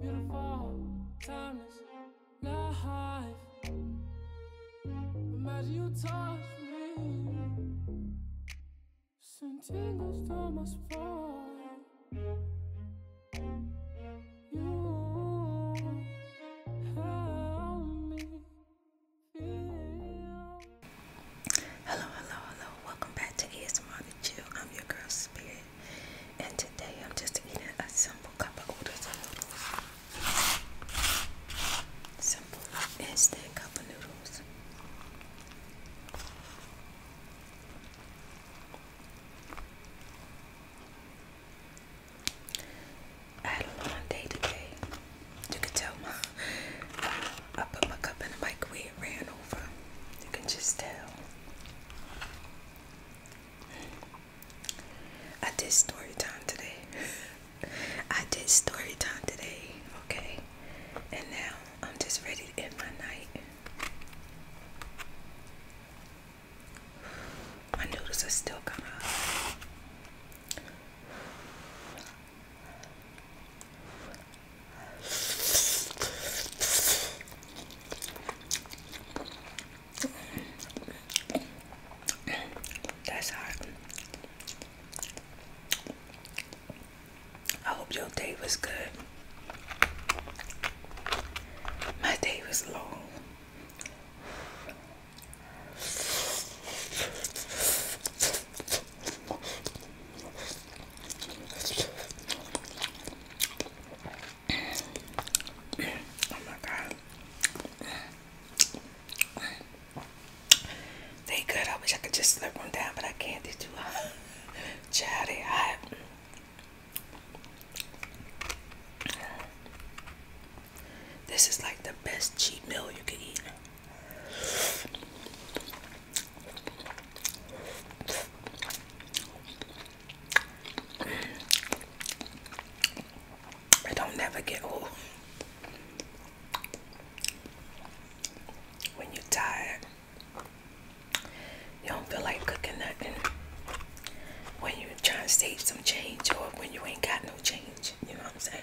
Beautiful, timeless life. Imagine you touch me. Send tingles down my Hello, hello, hello. Welcome back to ASMR with you. I'm your girl, Spirit. And today I'm just eating a simple cup of noodles Simple instant cup of noodles. I had a long day today. You can tell my I put my cup in the microwave, ran over. You can just tell. I did story time today. I did story time today, okay? And now I'm just ready to end my night. My noodles are still kind of. That's hot. I hope your day was good. My day was long oh my god. They good. I wish I could just slip one down, but I can't. They too hot. Child, they This is like the best cheat meal you can eat. I don't never get old. When you're tired, you don't feel like cooking nothing. When you're trying to save some change or when you ain't got no change, you know what I'm saying?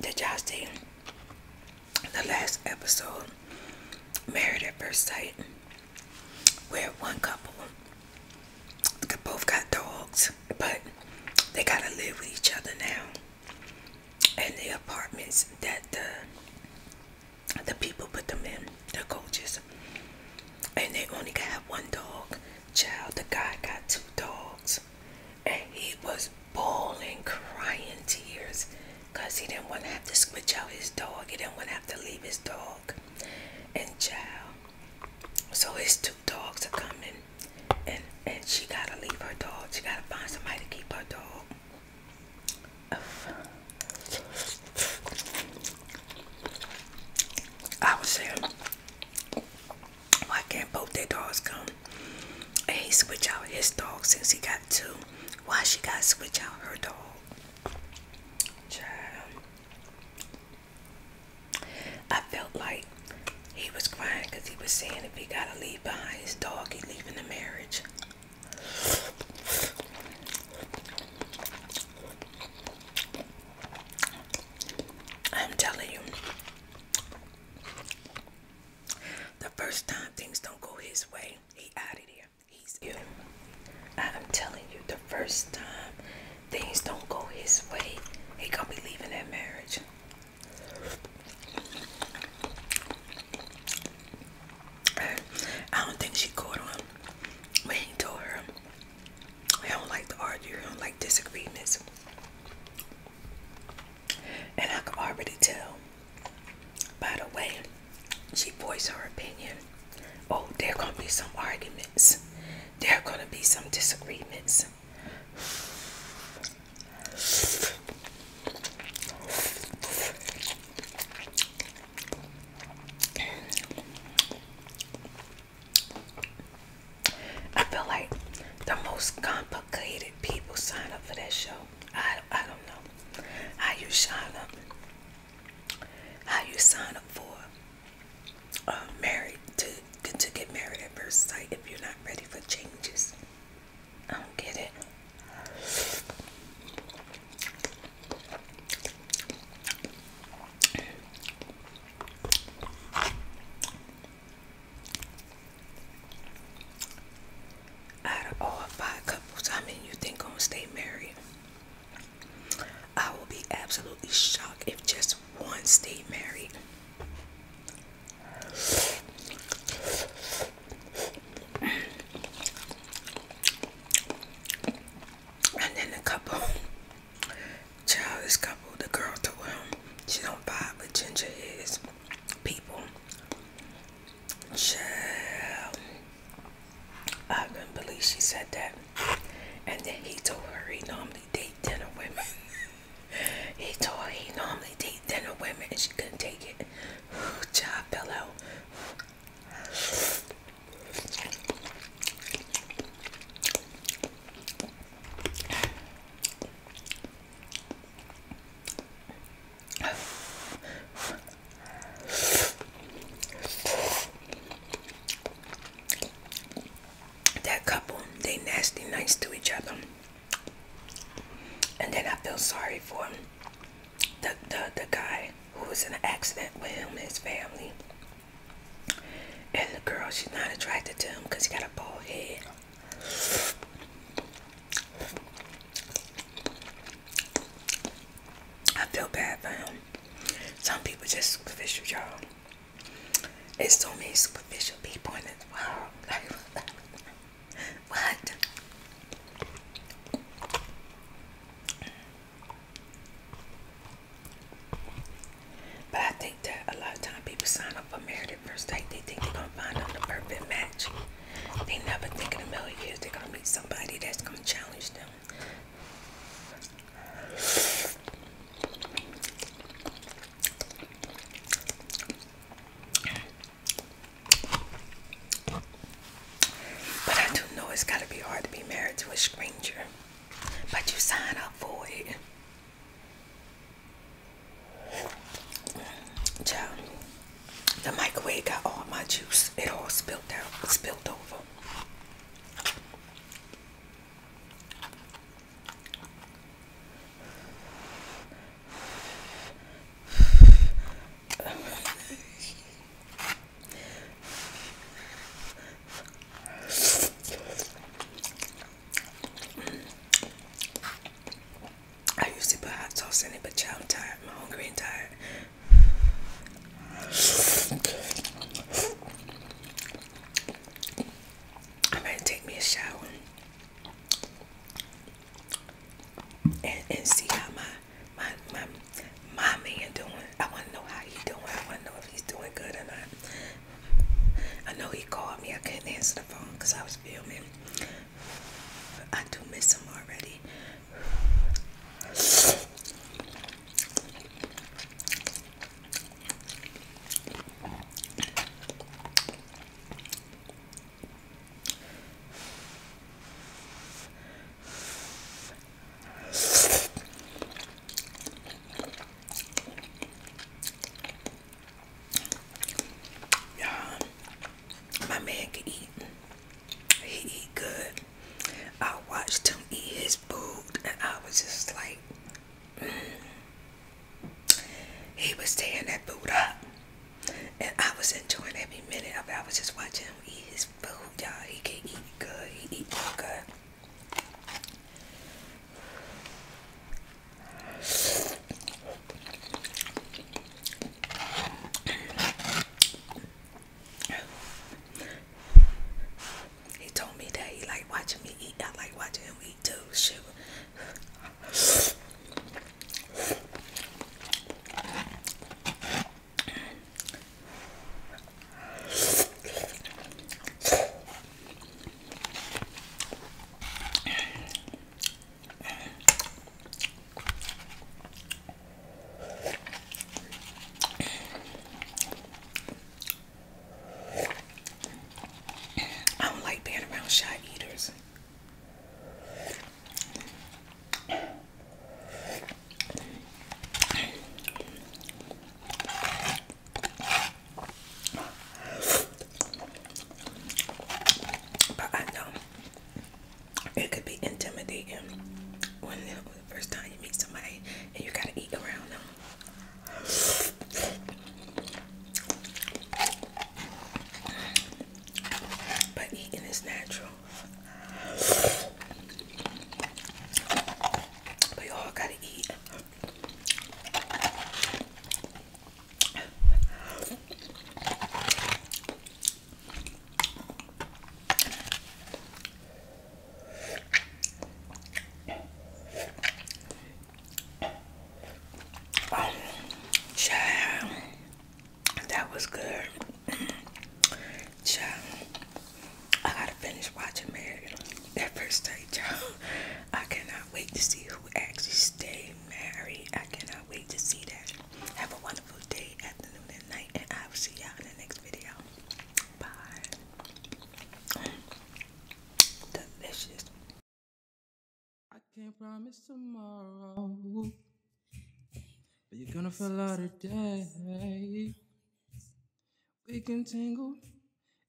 Did y'all see the last episode, Married at First Sight, where one couple both got dogs, but they gotta live with each other now And the apartments that the the people put them in, the coaches. And they only got one dog. Child, the guy got two dogs. And he was bawling, crying tears. Because he didn't want to have to switch out his dog. He didn't want to have to leave his dog. And child. So his two dogs are coming. And and she gotta leave her dog. She gotta find somebody to keep her dog. I was saying, why can't both their dogs come? And he switch out his dog since he got two. Why she got switch out her dog? Child. I felt like he was crying because he was saying if he gotta leave behind his dog, he leaving the marriage. I'm telling you, the first time things don't go his way, he out of there. He's ill. I'm telling you, the first time things don't go his way, he gonna be leaving that marriage. I don't think she caught on when he told her, I don't like to argue, I don't like disagreements. And I could already tell by the way she voiced her opinion. Oh, there are going to be some arguments, there are going to be some disagreements. I feel like the most complicated people sign up for that show. I, I don't know how you sign up. How you sign up for uh, married to to get married at first sight if you're not ready for changes. I don't get it. Out of all five couples, I mean, you think I'm gonna stay married? I will be absolutely shocked if just one stay married. And then the couple, child, this couple, the girl told him she don't vibe with Ginger is people. Child, I couldn't believe she said that. And then he told her he normally date dinner women. He told he normally date thinner women and she couldn't take it. Good Job fellow that couple, they nasty nice to each other. And then I feel sorry for him. The, the, the guy who was in an accident with him and his family. And the girl, she's not attracted to him because he got a bald head. I feel bad for him. Some people just fish y'all. It's so many superficial people in this world. what? But I think that a lot of times people sign up for marriage at first date. They think they're gonna find them the perfect match. They never think in a million years they're gonna meet somebody that's gonna challenge them. But I do know it's gotta be hard to be married to a stranger. But you sign up for it. Child, the microwave got all my juice. It all spilled out, It spilled over. I used to put hot sauce in it, but child, I'm tired. I'm hungry and tired. I'm gonna take me a shower and, and see how my my my my man doing. I wanna know how he doing. I wanna know if he's doing good or not. I know he called me. I couldn't answer the phone because I was filming. But I do miss him already my man can eat. He eat good. I watched him eat his food, and I was just like, mm. he was tearing that food up, and I was enjoying every minute of it. I was just watching him eat his food, y'all. He can eat good. He eat good. He told me that he liked watching me eat. I like watching him eat too. Shoot. I don't like being around shy eaters. But I know it could be intimidating when the first time you meet somebody and you gotta eat around them. But eating is natural. But all gotta eat. Oh, that was good. Child, I gotta finish watching Married. That first day, child, I cannot wait to see who actually stays married. I cannot wait to see that. Have a wonderful day, afternoon, and night, and I will see y'all in the next video. Bye. Delicious. I can't promise tomorrow, but you're gonna feel out today. We can tangle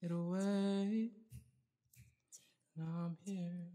it away. Now I'm here.